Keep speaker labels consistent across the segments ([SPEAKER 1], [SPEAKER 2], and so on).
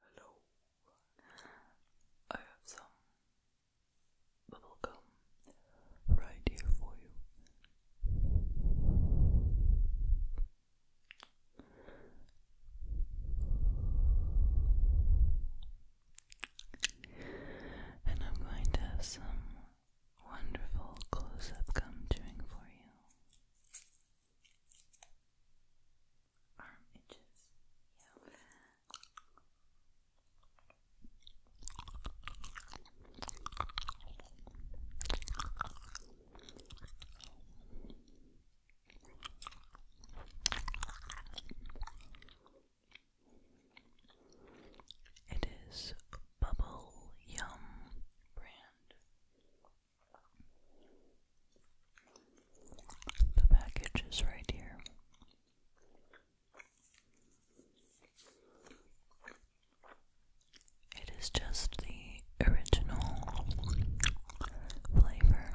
[SPEAKER 1] Hello. I have some bubblegum right here for you. And I'm going to have some wonderful close up gum chewing for you. Arm itches. It is Bubble Yum brand. The package is right here. It is just the original flavor.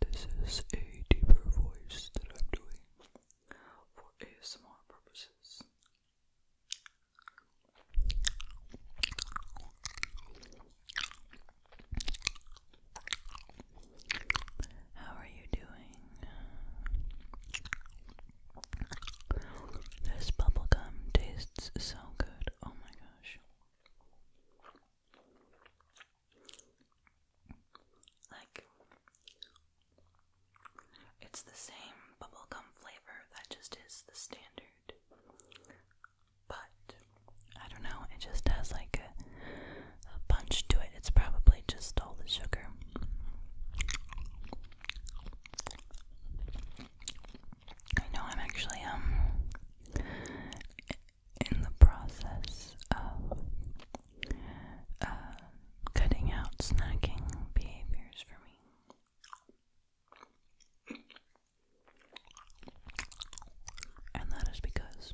[SPEAKER 1] This is a deeper voice that I'm doing for ASMR purposes. How are you doing? This bubblegum tastes so good. Oh my gosh. Like it's the same bubblegum flavor that just is the standard. But I don't know, it just has like a, punch to it. It's probably just all the sugar. I know I'm actually um in the process of uh, cutting out snacking behaviors for and that is because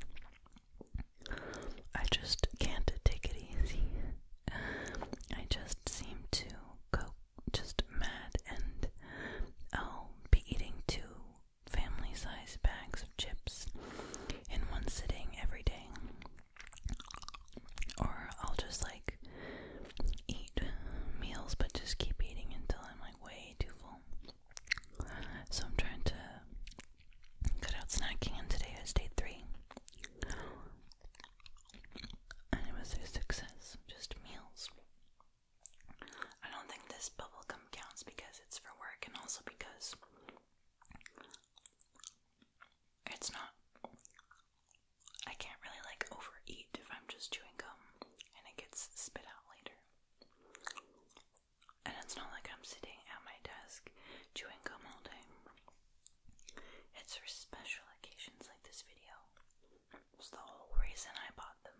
[SPEAKER 1] I just can't take it easy. I just seem to go just mad, and I'll be eating two family size bags of chips in one sitting every day. Or I'll just like eat meals but just keep eating until I'm like way too full. So I'm trying to cut out snacking and today is day three. And it was a success. Just meals. I don't think this bubblegum counts because it's for work and also because it's not. I can't really like overeat if I'm just chewing gum and it gets spit out later. And it's not like I'm sitting at my desk chewing gum all day. It's for special occasions like this video. It's the whole reason I bought them.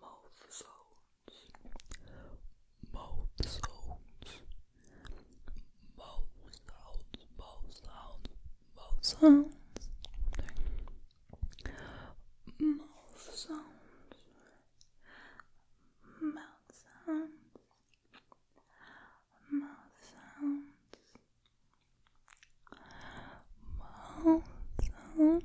[SPEAKER 1] Mouth sounds, mouth sounds, mouth sounds, mouth sounds, mouth sounds mouth sounds, mouth sounds, mouth sounds, mouth sounds,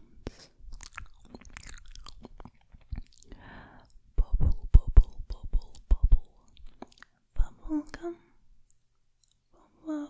[SPEAKER 1] bubble, bubble, bubble, bubble, bubble gum, bubble.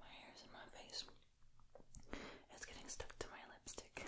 [SPEAKER 1] my hair's in my face. It's getting stuck to my lipstick.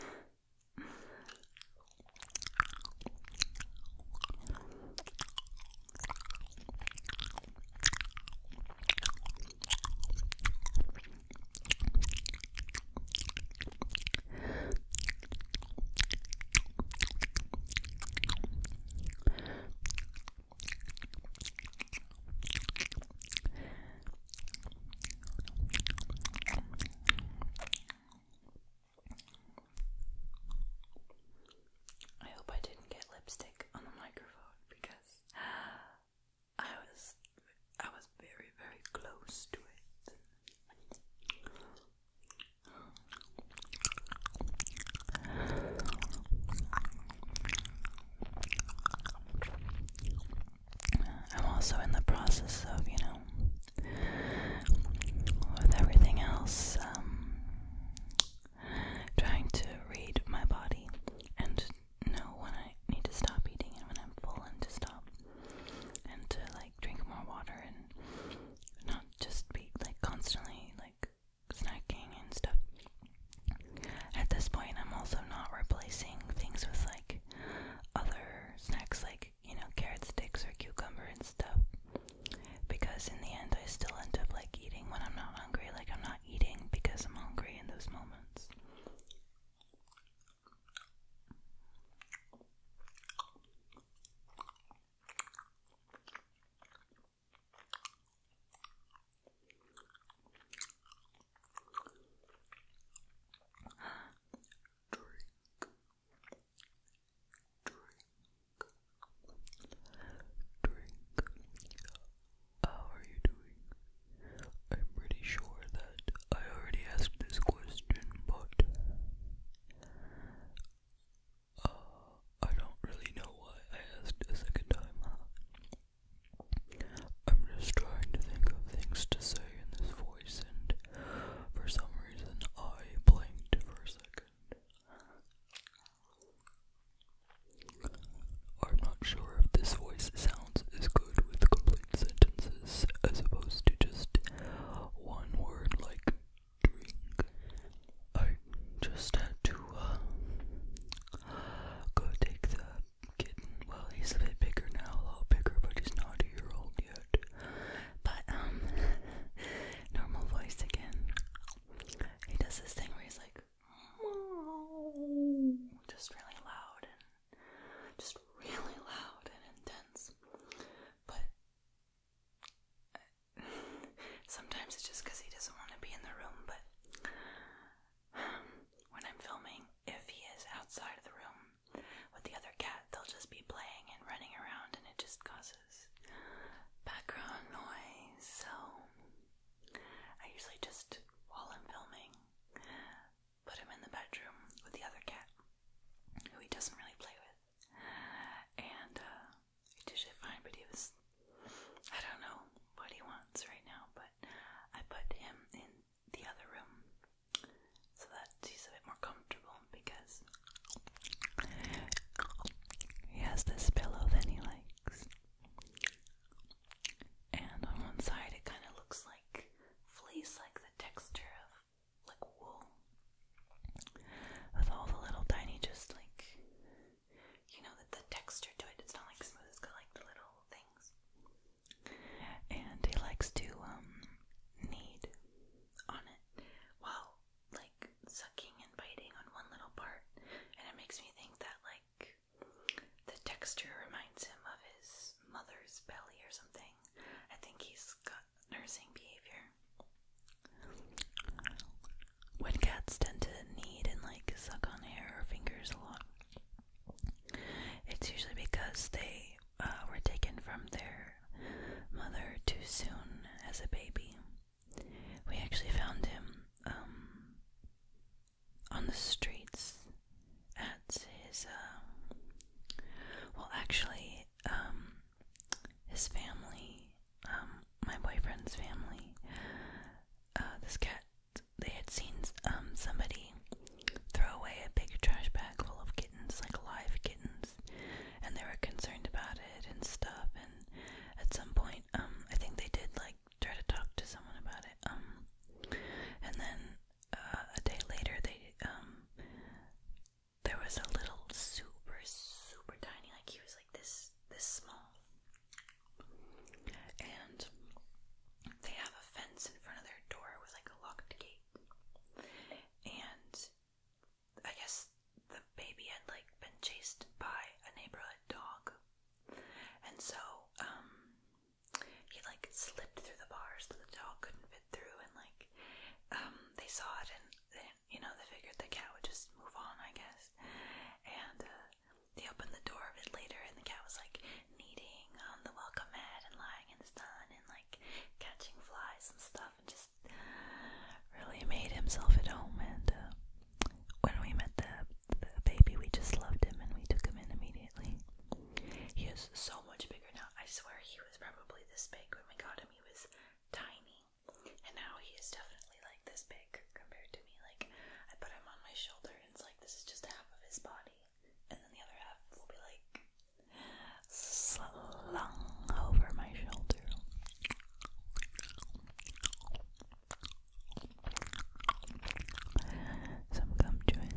[SPEAKER 1] I hope I didn't get lipstick on the microphone because I was I was very very close to it. I'm also in the process of, you know, with everything else, um, trying to read my body and know when I need to stop eating and when I'm full and to stop and to like drink more water and not just be like constantly like snacking and stuff. At this point, I'm also not replacing things with like other snacks like, you know, carrot sticks or cucumber and stuff. Because in the end, I still end up like eating when I'm not hungry. Like, I'm not eating because I'm hungry in those moments. How are you doing? I'm pretty sure that I already asked this question, but uh, I don't really know why I asked a second time. I'm just trying to think of things to say in this voice, and for some reason I blinked for a second. I'm not sure if this voice sounds as good with complete sentences as opposed to just one word like I oh, just had to uh, go take the kitten. Well, he's a bit bigger now, a lot bigger, but he's not a year old yet. But, um, normal voice again. He does this thing where he's like, just really loud and just really loud and intense. But sometimes it's just because he doesn't want to be in the room, but when I'm filming, if he is outside of the room with the other cat, they'll just be playing and running around, and it just causes background noise. So I usually just, while I'm filming, put him in the bedroom with the other cat who he doesn't really play with, and uh, he fine, but he was, I don't know what he wants right now, but I put him in the other room so that he's a bit more comfortable because he has this pillow that he likes. And on one side it kind of looks like fleece, like the texture of like wool. With all the little tiny just like you know, that the texture to it, it's not like smooth, it's got like the little things. And he likes to, um, knead on it while, like, sucking and biting on one little part. And it makes me think that, like, the texture reminds him of his mother's belly or something. I think he's got nursing behavior. When cats tend to need and like suck on hair or fingers a lot, it's usually because they uh, were taken from their mother too soon as a baby. We actually found him um, on the streets at his, uh, well, actually, um, his family um, my boyfriend's family, uh, this cat, they had seen um, somebody throw away a big trash bag full of kittens, like live kittens, and they were concerned about it and stuff. And at some point, um, I think they did like try to talk to someone about it. Um, and then uh, a day later, they um, there was a little super super tiny, like he was like this is this small. And they have a fence in front of their door with like a locked gate. And I guess the baby had like been chased by a neighborhood dog. And so, um, he like slipped through the bars that the dog couldn't fit through and like um they saw it and they giant. You know, they figured the cat would just move on, I guess. And uh, they opened the door of it later, and the cat was like kneading on the welcome mat and lying in the sun and like catching flies and stuff, and just really made himself at home. And uh, when we met the the baby, we just loved him, and we took him in immediately. He is so much bigger now. I swear he was probably this big when we got him. He was tiny and now he is definitely like this big compared to me. Like, I put him on my shoulder, and it's like this is just half of his body, and then the other half will be like slung over my shoulder. Some gum chewing.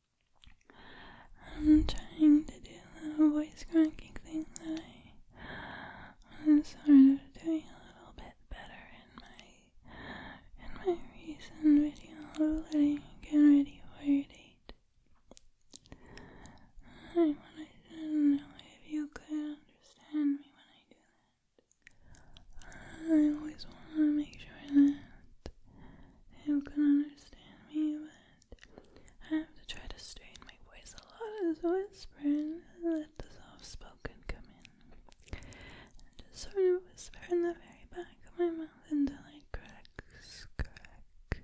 [SPEAKER 1] I'm trying to do the voice cracking thing that I was sort of doing a little bit better in my in my recent video of letting you ready for your date. I wanted to know if you could understand me when I do that. I always want to make sure that who can understand me, but I have to try to strain my voice a lot as a whisper and let the soft spoken come in. And just sort of whisper in the very back of my mouth until I cracks, crack.